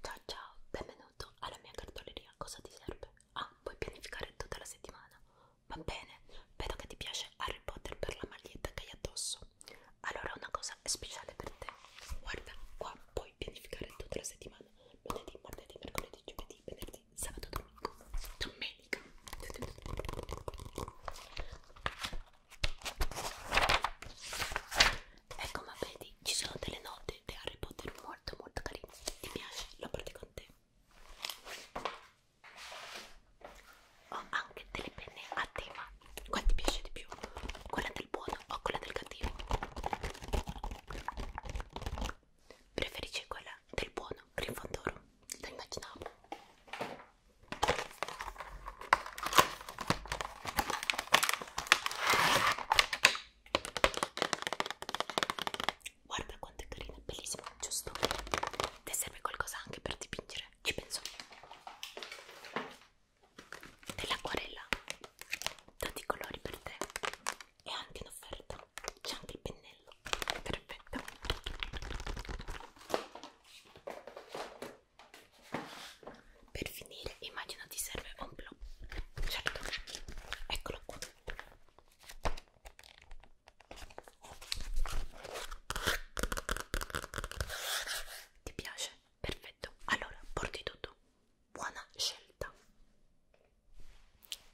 Ciao ciao, benvenuto alla mia cartoleria, cosa ti serve? Ah, puoi pianificare tutta la settimana? Va bene, vedo che ti piace Harry Potter per la maglietta che hai addosso. Allora una cosa è speciale per te. Guarda, qua puoi pianificare tutta la settimana. Lunedì, martedì, mercoledì, giovedì, venerdì, sabato, domingo, domenica. Ecco, ma vedi, ci sono delle note di Harry Potter molto molto carine. Ti piace? Lo porti con te. Ho anche delle penne a tema. Qual ti piace di più? Quella del buono o quella del cattivo? Preferisci quella del buono, Grifondoro? Lo immaginavo. Guarda quanto è carina, è bellissima, giusto? Ti serve qualcosa anche per dipingere? Ci penso dell'acquarella tanti colori per te e anche in offerta c'è anche il pennello perfetto per finire, immagino ti serve un blu. Certo, eccolo qua. Ti piace? Perfetto. Allora, porti tutto. Buona scelta.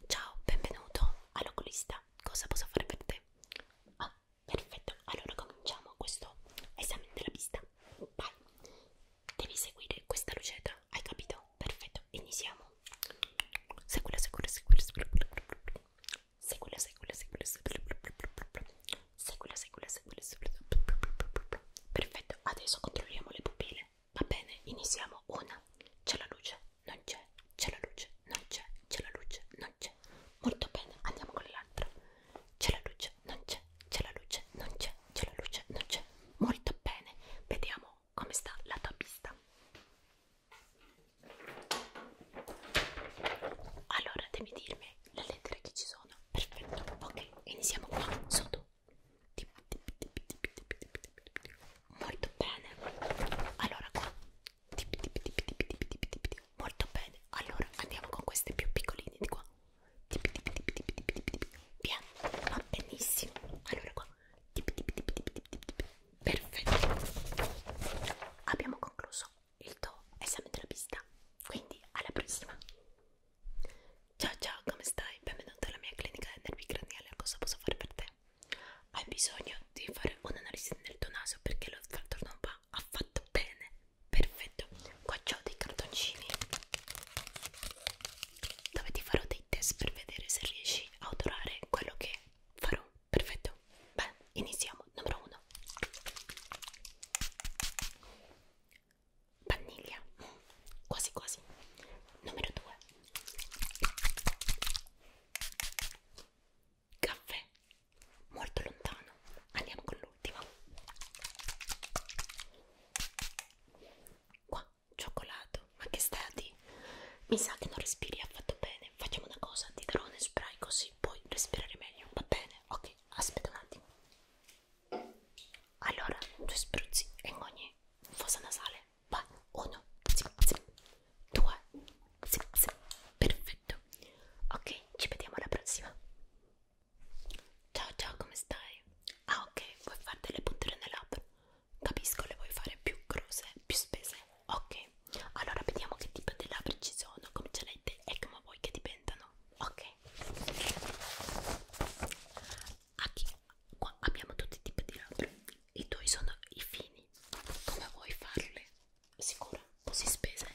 Ciao, benvenuto all'oculista. Cosa posso fare per te? Ah, perfetto. Allora cominciamo questo esame della pista vai devi seguire questa lucetta hai capito? perfetto iniziamo seguila seguila seguila seguila seguila seguila seguila seguila seguila seguila seguila seguila perfetto adesso controlliamo le pupille va bene iniziamo una c'è la luce non c'è c'è la luce non c'è c'è la luce non c'è molto bene andiamo con l'altra c'è la luce, non c'è, c'è la luce, non c'è, c'è la luce, non c'è. Molto bene, vediamo come sta la tua pista. Allora devi dirmi le lettere che ci sono. Perfetto, ok, iniziamo qua sotto. Molto bene. Allora qua. Molto bene. Allora andiamo con queste più piccoline di qua tipi tipi tipi tipi tipi tipi tipi via va benissimo allora qua tipi tipi tipi tipi tipi tipi perfetto abbiamo concluso il tuo esame della pista quindi alla prossima ciao ciao come stai benvenuto alla mia clinica del nervi craniale cosa posso fare per te hai bisogno di fare un'analisi nel tuo naso perché lo non va affatto bene perfetto qua ho dei cartoncini dove ti farò dei test per vedere se riesci a odorare quello che farò perfetto beh iniziamo numero 1 Vaniglia, quasi quasi. Numero 2. Caffè, molto lontano. Andiamo con l'ultimo. Qua, cioccolato. Ma che stati? Mi sa che non respiri affatto bene. Facciamo una cosa, ti darò un spray così puoi respirare meglio. Va bene? Ok, aspetta un attimo. Allora, due spruzzi in ogni fossa nasale. Vai, uno, zip, zip. due, zip, zip. perfetto. Ok, ci vediamo alla prossima. Ciao ciao, come stai? Ah ok, vuoi fare delle punture nelle labbra? Capisco, le vuoi fare più grosse, più spese. Ok, allora vediamo che tipo di labbra ci sono, come ce l'hai te e come vuoi che diventano. Ok. Aquí, qua abbiamo tutti i tipi di labbra. I tuoi sono i fini. Come vuoi farle? Sicura? Così spese?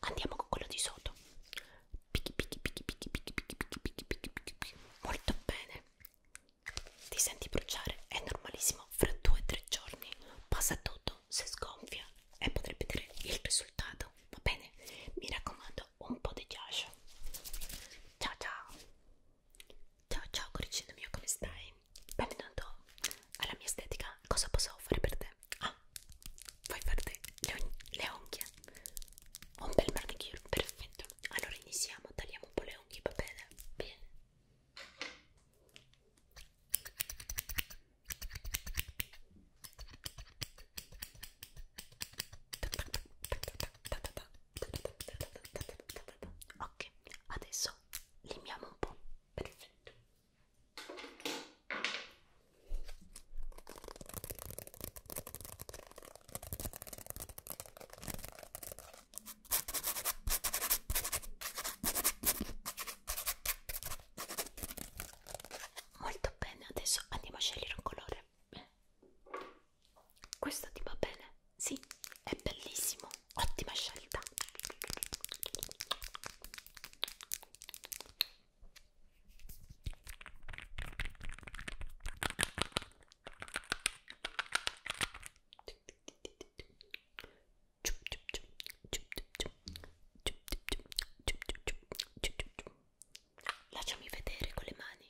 andiamo con quello di sotto picchi picchi picchi picchi picchi picchi picchi picchi picchi picchi picchi molto bene ti senti bruciare è normalissimo fra due o tre giorni passa tutto se sgonfia e potrai vedere il risultato va bene mi raccomando un po' di ghiaccio ciao ciao ciao ciao coricino mio come stai benvenuto alla mia estetica cosa posso fare per te Ah, vuoi farti le, le unghie? Un bel manicure, perfetto. Allora iniziamo, tagliamo un po' le unghie, va bene? Bene. Ok, adesso limiamo un po', perfetto. Molto bene, adesso andiamo a scegliere un colore. Beh. Questo ti va bene? Sì, è bellissimo, ottima scelta. Lasciami vedere con le mani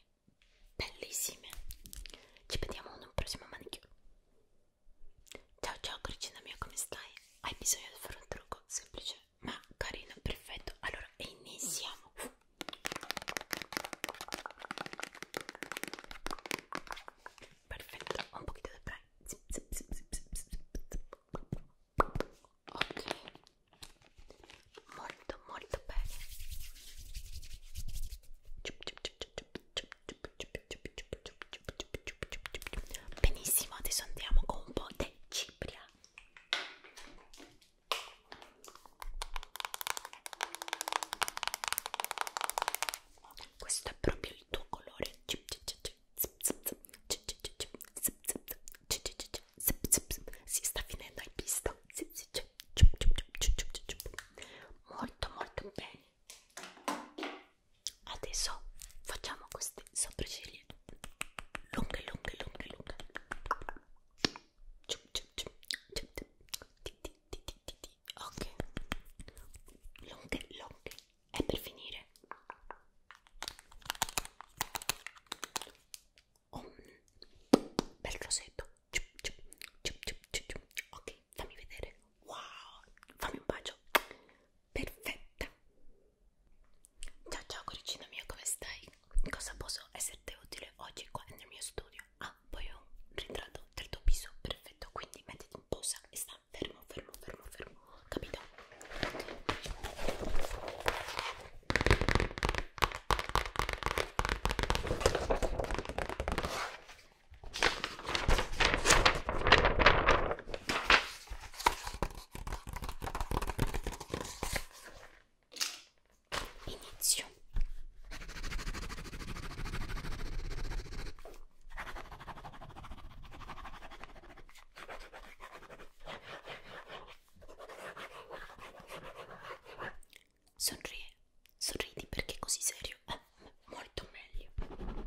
bellissime. Ci vediamo in un prossimo manicure. Ciao ciao Cricina mia, come stai? Hai bisogno di fare un trucco semplice? ma carino, perfetto. Allora, e iniziamo. Perfetto, un pochino di brain. Ok, molto, molto bene. Ciup, ciup, ciup, ciup, ciup, ciup, ciup, ciup, ciup, ciup, ciup. Benissimo, adesso andiamo con un po' di cipria. Questo è proprio il tuo colore. Si sta finendo hai visto? Molto molto bene adesso facciamo queste sopracciglia lunghe lunghe lunghe lunghe ok lunghe lunghe e per finire un bel rosetto ok fammi vedere wow fammi un bacio perfetta Ciao ciao coricina mia, come stai? Cosa posso esserti utile oggi qua nel mio studio? Ah, poi ho un ritratto del tuo viso, perfetto, quindi mettiti in posa e sta fermo, fermo, fermo, fermo, capito? Inizio. Sorridi, sorridi perché così serio è eh, molto meglio.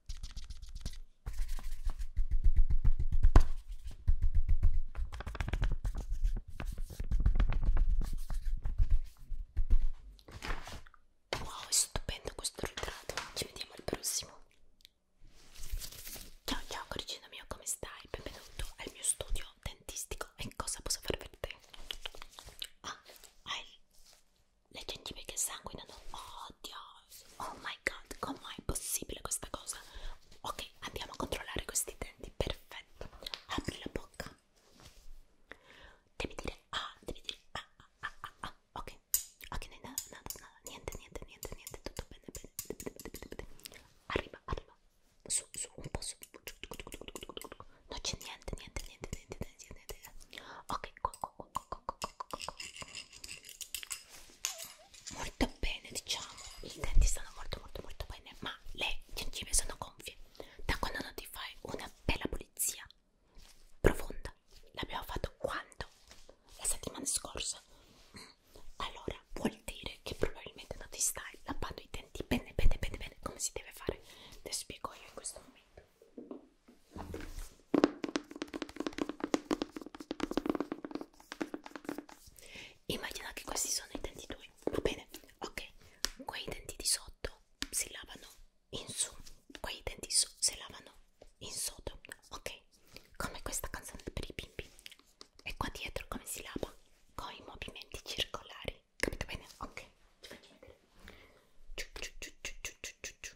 Wow, è stupendo questo ritratto. Ci vediamo al prossimo. Ciao ciao coricino mio, come stai? Benvenuto al mio studio dentistico. E cosa posso fare per te? Ah, hai le gengive che sanguinano? Oddio, oh my god com'è possibile questa cosa ok andiamo a controllare questi denti perfetto apri la bocca devi dire ah devi dire ah ah ah ah, ah. ok ok no, no, no, no. niente niente niente niente tutto bene bene arriva arriva su su un po' su non c'è niente niente niente niente niente niente ok qua qua qua molto bene diciamo i denti stanno molto molto molto bene ma le gengive sono gonfie da quando non ti fai una bella pulizia profonda l'abbiamo fatto quando? la settimana scorsa mm. allora vuol dire che probabilmente non ti stai lavando i denti bene bene bene bene come si deve fare te spiego io in questo momento Immagina che questi sono i denti duri, va bene? Ok, quei denti di sotto si lavano in su, quei denti su si lavano in sotto, ok? Come questa canzone per i bimbi. E qua dietro come si lava? Con i movimenti circolari, capito bene? Ok, ti faccio vedere. Ciu, ciu, ciu, ciu, ciu, ciu, ciu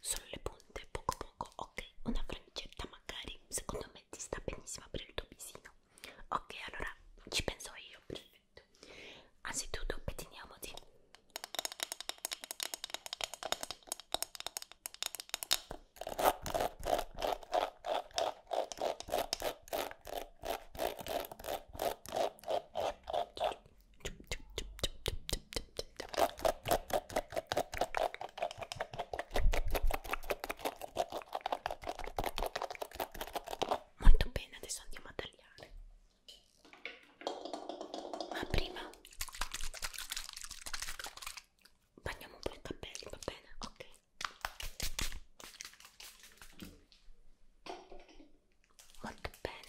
solo le punte, poco poco, ok, una frangetta magari, secondo me ti sta benissimo per il tuo visino, ok, allora ci penso io, perfetto, anzitutto pettiniamoti, Molto bene, adesso andiamo a tagliare. Ma prima bagniamo un po' i capelli, va bene? Ok. Molto bene.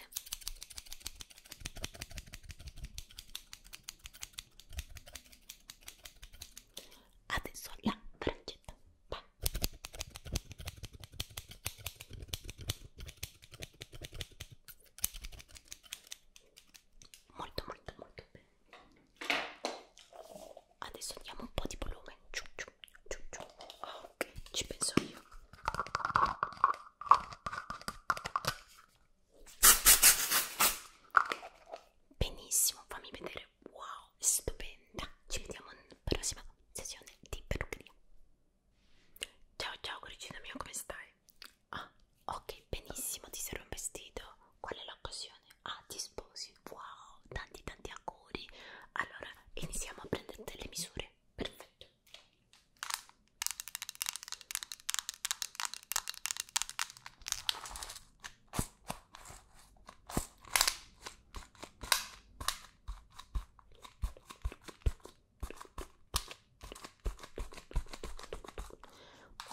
Adesso la braccetta. Va. Molto molto molto bene. Adesso andiamo un po' di volume. Ciu, ciu, ciu, ciu. Ok, ci penso io benissimo fammi vedere wow stupenda ci vediamo nella prossima sessione di parruccheria ciao ciao coricina mia come stai? ah ok benissimo ti serve un vestito qual è l'occasione? ah ti sposi wow tanti tanti auguri allora iniziamo a prendere le misure perfetto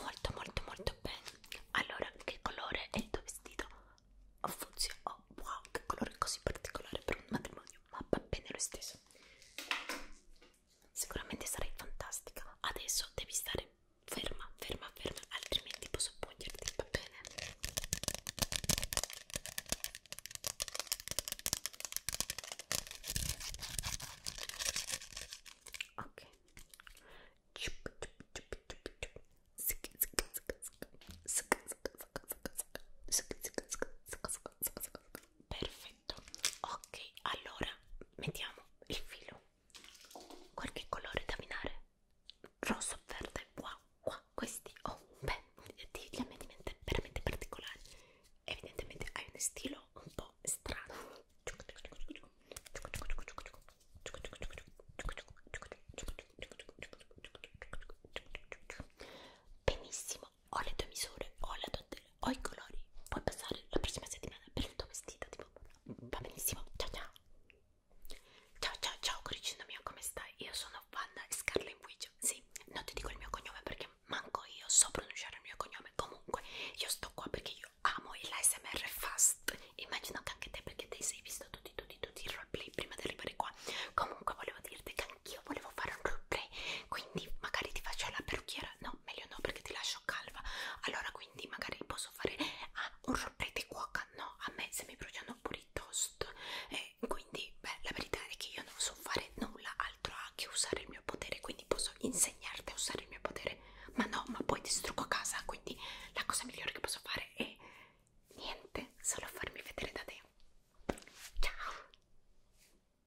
Molto molto molto bene. Allora, che colore è il tuo vestito? Oh, funziona. Oh, wow, che colore così particolare per un matrimonio, ma va bene lo stesso. Sicuramente sarai fantastica. Adesso devi stare ferma, ferma, ferma, altrimenti posso poggerti, va bene? Ok. Perfetto perfetto ok allora mettiamo il filo qualche colore da minare rosso verde qua qua questi oh beh veramente veramente particolari evidentemente hai uno stilo un po' strano benissimo ho le tue misure, ho la tua tela, ho i colori. Puoi passare la prossima settimana per il tuo vestito. Tipo, va benissimo. Ciao ciao. Ciao ciao ciao, coricino mio, come stai? Io sono Vanna Scarlett Witch. Sì, non ti dico il mio cognome perché manco io so pronunciare il mio cognome. Comunque, io sto qua perché io amo l'ASMR fast. Immagino che anche te, perché te sei visto tutti, tutti, tutti i roleplay prima di arrivare qua. Comunque, volevo dirti che anch'io volevo fare un roleplay. Quindi, magari ti faccio la parrucchiera. No, no, meglio no perché ti lascio calva. Allora quindi magari posso fare ah, un rompete cuoca, no, a me se mi bruciano pure i toast. E eh, quindi, beh, la verità è che io non so fare nulla altro che usare il mio potere, quindi posso insegnarti a usare il mio potere. Ma no, ma poi ti strucco a casa, quindi la cosa migliore che posso fare è niente, solo farmi vedere da te. Ciao!